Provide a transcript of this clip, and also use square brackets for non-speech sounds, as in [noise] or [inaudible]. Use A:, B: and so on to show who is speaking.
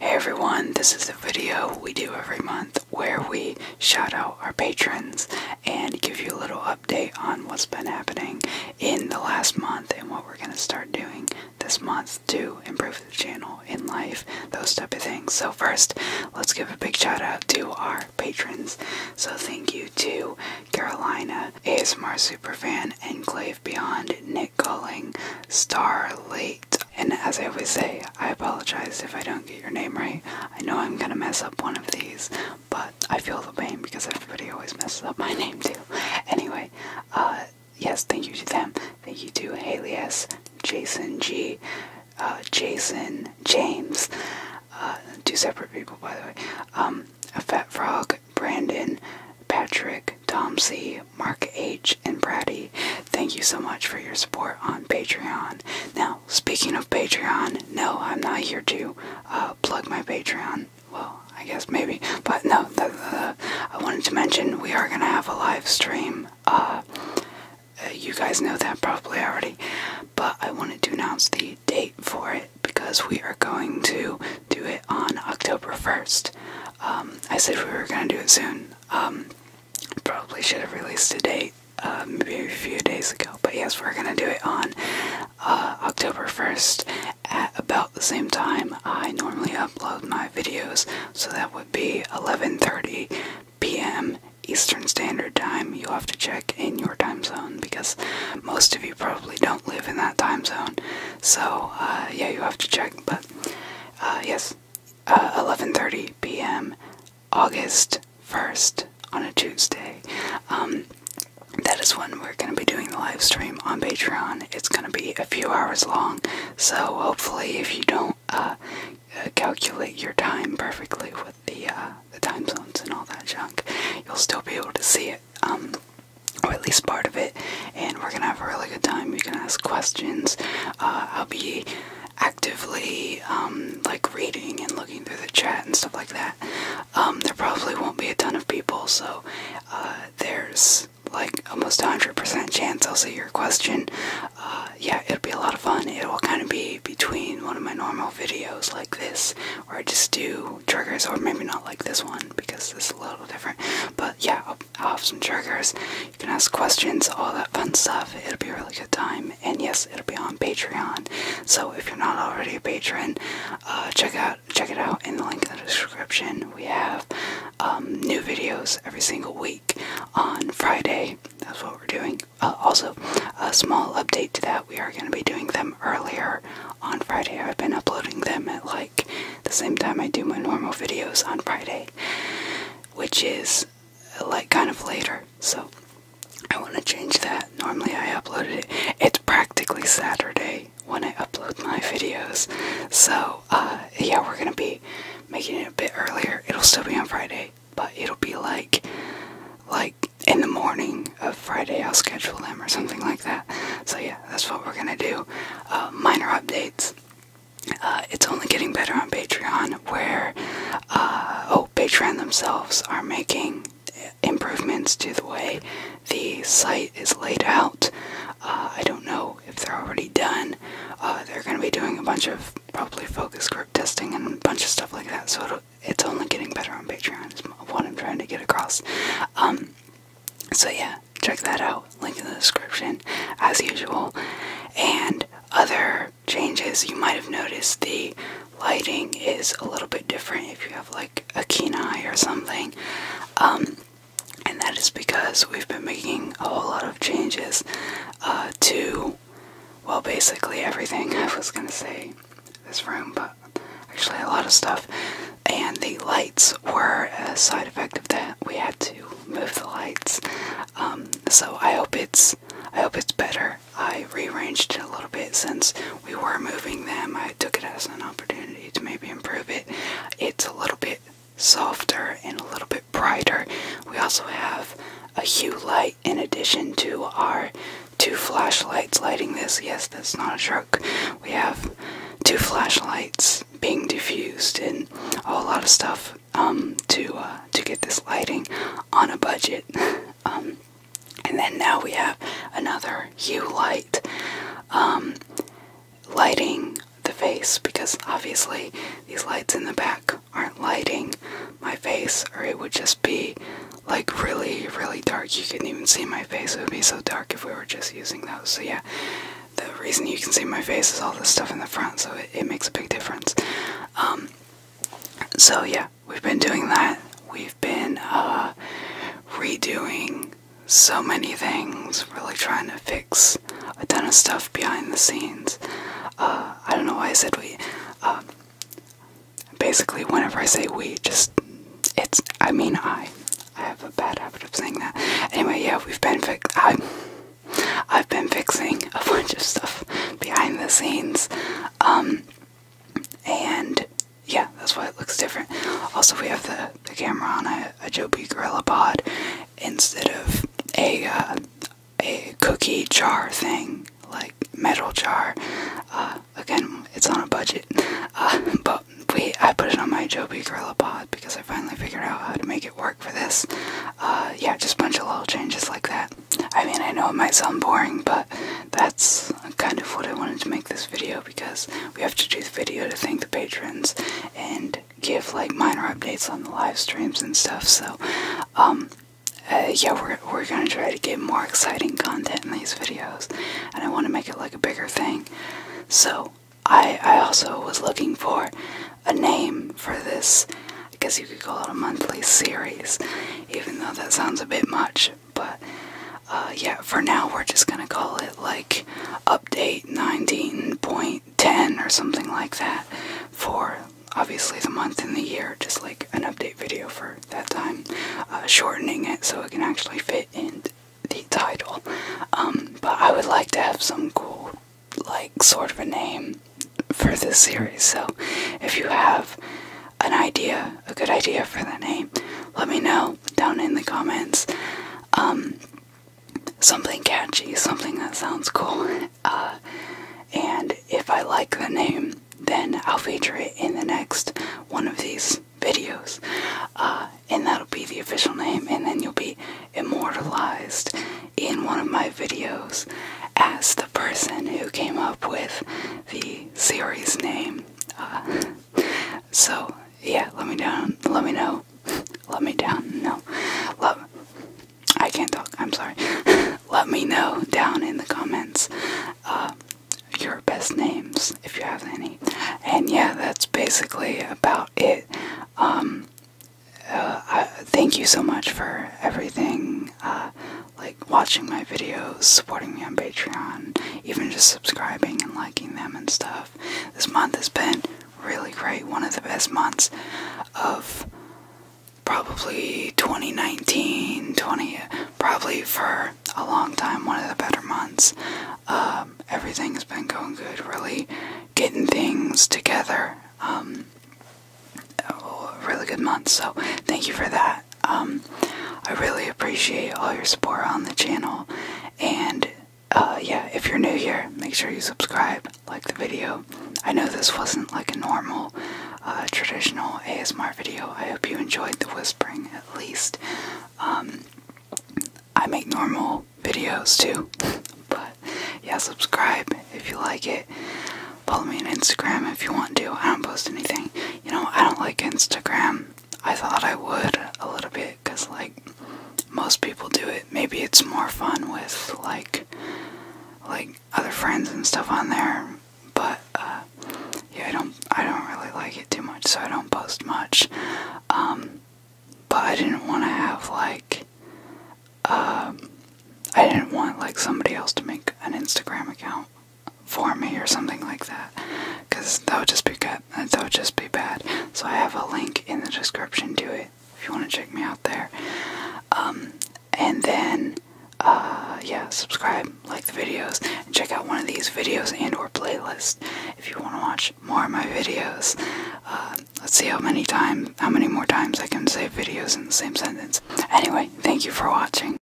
A: Hey everyone, this is the video we do every month where we shout out our patrons and give you a little update on what's been happening in the last month and what we're going to start doing this month to improve the channel in life, those type of things. So first, let's give a big shout out to our patrons. So thank you to Carolina, ASMR Superfan, Enclave Beyond, Nick by calling Starlight. And as I always say, I apologize if I don't get your name right. I know I'm gonna mess up one of these, but I feel the pain because everybody always messes up my [laughs] name too. Anyway, uh, yes, thank you to them. Thank you to Haley Jason G, uh, Jason James, uh, two separate people by the way, um, a Fat Frog, Brandon, Patrick, Tom C, Mark H, and Brady. Thank you so much for your support on Patreon. Now, speaking of Patreon, no, I'm not here to uh, plug my Patreon. Well, I guess maybe, but no. I wanted to mention we are gonna have a live stream. Uh, uh, you guys know that probably already, but I wanted to announce the date for it because we are going to do it on October 1st. Um, I said we were going to do it soon. Um, probably should have released a date um, maybe a few days ago, but yes, we're going to do it on uh, October 1st at about the same time I normally upload my videos, so that would be 11:30 p.m. Eastern Standard Time. You'll have to check in your time zone because most of you probably don't live in that time zone. So uh, yeah, you have to check. But uh, yes, 11:30 uh, p.m. August 1st on a Tuesday. Um, that is when we're going to be doing the live stream on Patreon. It's going to be a few hours long, so hopefully, if you don't calculate your time perfectly with the time zones and all that junk, you'll still be able to see it. Um, or at least part of it, and we're gonna have a really good time. You can ask questions. Uh, I'll be actively um, like reading and looking through the chat and stuff like that. Um, there probably won't be a ton of people, so uh, there's like almost hundred percent chance I'll see your question. Uh, yeah, it'll be a lot of fun. It will kind of be between one of my normal videos like this, or just do triggers, or maybe not like this one because it's a little different. But yeah, I'll, have some triggers. You can ask questions, all that fun stuff. It'll be a really good time. And yes, it'll be on Patreon. So if you're not already a patron, uh, check out check it out in the link in the description. We have um, new videos every single week on Friday. That's what we're doing. Uh, also, a small update to that: we are going to be doing them earlier on Friday. I've been uploading them at like the same time I do my normal videos on Friday, which is like kind of later. So I want to change that. Normally I upload it. It's practically Saturday when I upload my videos. So uh, yeah, we're gonna be making it a bit earlier. It'll still be on Friday, but it'll be like like in the morning of Friday, I'll schedule them or something like that. So, yeah, that's what we're gonna do. Uh, minor updates. Uh, it's only getting better on Patreon, where uh, oh, Patreon themselves are making improvements to the way the site is laid out. I don't know if they're already done. they're going to be doing a bunch of probably focus group testing and a bunch of stuff like that, so it'll it's only getting better on Patreon, is what I'm trying to get across. Um, so, yeah, check that out. Link in the description, as usual. And other changes you might have noticed the lighting is a little bit different if you have like a keen eye or something. Um, and that is because we've been making a whole lot of changes uh, to well, basically everything [laughs] I was gonna say this room, but actually a lot of stuff. And the lights were a side effect of that. We had to move the lights. Um, so I hope it's I hope it's better. I rearranged it a little bit since we were moving them. I took it as an opportunity to maybe improve it. It's a little bit softer and a little bit brighter. We also have a hue light in addition to our two flashlights lighting this. Yes, that's not a joke. We have two flashlights being diffused and a lot of stuff um, to uh, to get this lighting on a budget. [laughs] Um, and then now we have another hue light um, lighting the face because obviously these lights in the back aren't lighting my face, or it would just be like really, really dark. You couldn't even see my face. It would be so dark if we were just using those. So, yeah, the reason you can see my face is all this stuff in the front, so it, makes a big difference. Um, so, yeah, we've been doing that. We've been uh, redoing so many things, really trying to fix a ton of stuff behind the scenes. Uh, I don't know why I said we. Um, basically, whenever I say we, just it's. I mean, I. I have a bad habit of saying that. Anyway, yeah, we've been fix. I. have been fixing a [laughs] bunch of stuff behind the scenes, um, and yeah, that's why it looks different. Also, we have the, camera on a, a Joby Gorilla Pod instead of a uh, a cookie jar thing, like metal jar. Uh, again, it's on a budget, uh, but we I put it on my Joby Gorilla Pod because I finally figured out how to make it work for this. Uh, yeah, just a bunch of little changes like that. I mean, I know it might sound boring, but that's kind of what I wanted to make this video because we have to do the video to thank the patrons, and give like minor updates on the live streams and stuff. So, um, uh, yeah, we're we're gonna try to get more exciting content in these videos, and I want to make it like a bigger thing. So, I I also was looking for a name for this. I guess you could call it a monthly series, even though that sounds a bit much. But uh, yeah, for now we're just gonna call it like update 19.0. 10 or something like that for obviously the month and the year, just like an update video for that time, uh, shortening it so it can actually fit in the title. Um, but I would like to have some cool, like, sort of a name for this series, so if you have an idea, a good idea for the name, let me know down in the comments. Um, something catchy, something that sounds cool. [laughs] Uh, and if I like the name, then I'll feature it in the next one of these videos. Uh, and that'll be the official name, and then you'll be immortalized in one of my videos as the person who came up with the series name. Uh, so yeah, let me down. Let me know. Let me down. No, love. I can't talk. I'm sorry. [laughs] let me know down in the comments uh, your best names if you have any. And yeah, that's basically about it. Um, uh, thank you so much for everything. Uh, like watching my videos, supporting me on Patreon, even just subscribing and liking them and stuff. This month has been really great. One of the best months of probably 2019, 20, probably for a long time, one of the better months. Um, everything's been going good, really getting things together. Um, oh, really good month, so thank you for that. Um, I really appreciate all your support on the channel. And uh, yeah, if you're new here, make sure you subscribe, like the video. I know this wasn't like a normal, uh, traditional ASMR video. I hope you enjoyed the whispering at least. Um, I make normal videos too, [laughs] but yeah, subscribe if you like it. Follow me on Instagram if you want to. I don't post anything. You know, I don't like Instagram. I thought I would a little bit because, like, most people do it. Maybe it's more fun with, like, like other friends and stuff on there, but uh, yeah, I don't, I don't really like it too much, so I don't post much. Um, but I didn't want to have like, um, I didn't want like somebody else to make an Instagram account for me or something like that because that would just be good that would just be bad so i have a link in the description to it if you want to check me out there um and then uh yeah subscribe like the videos check out one of these videos and or playlist if you want to watch more of my videos uh, let's see how many times how many more times i can say videos in the same sentence anyway thank you for watching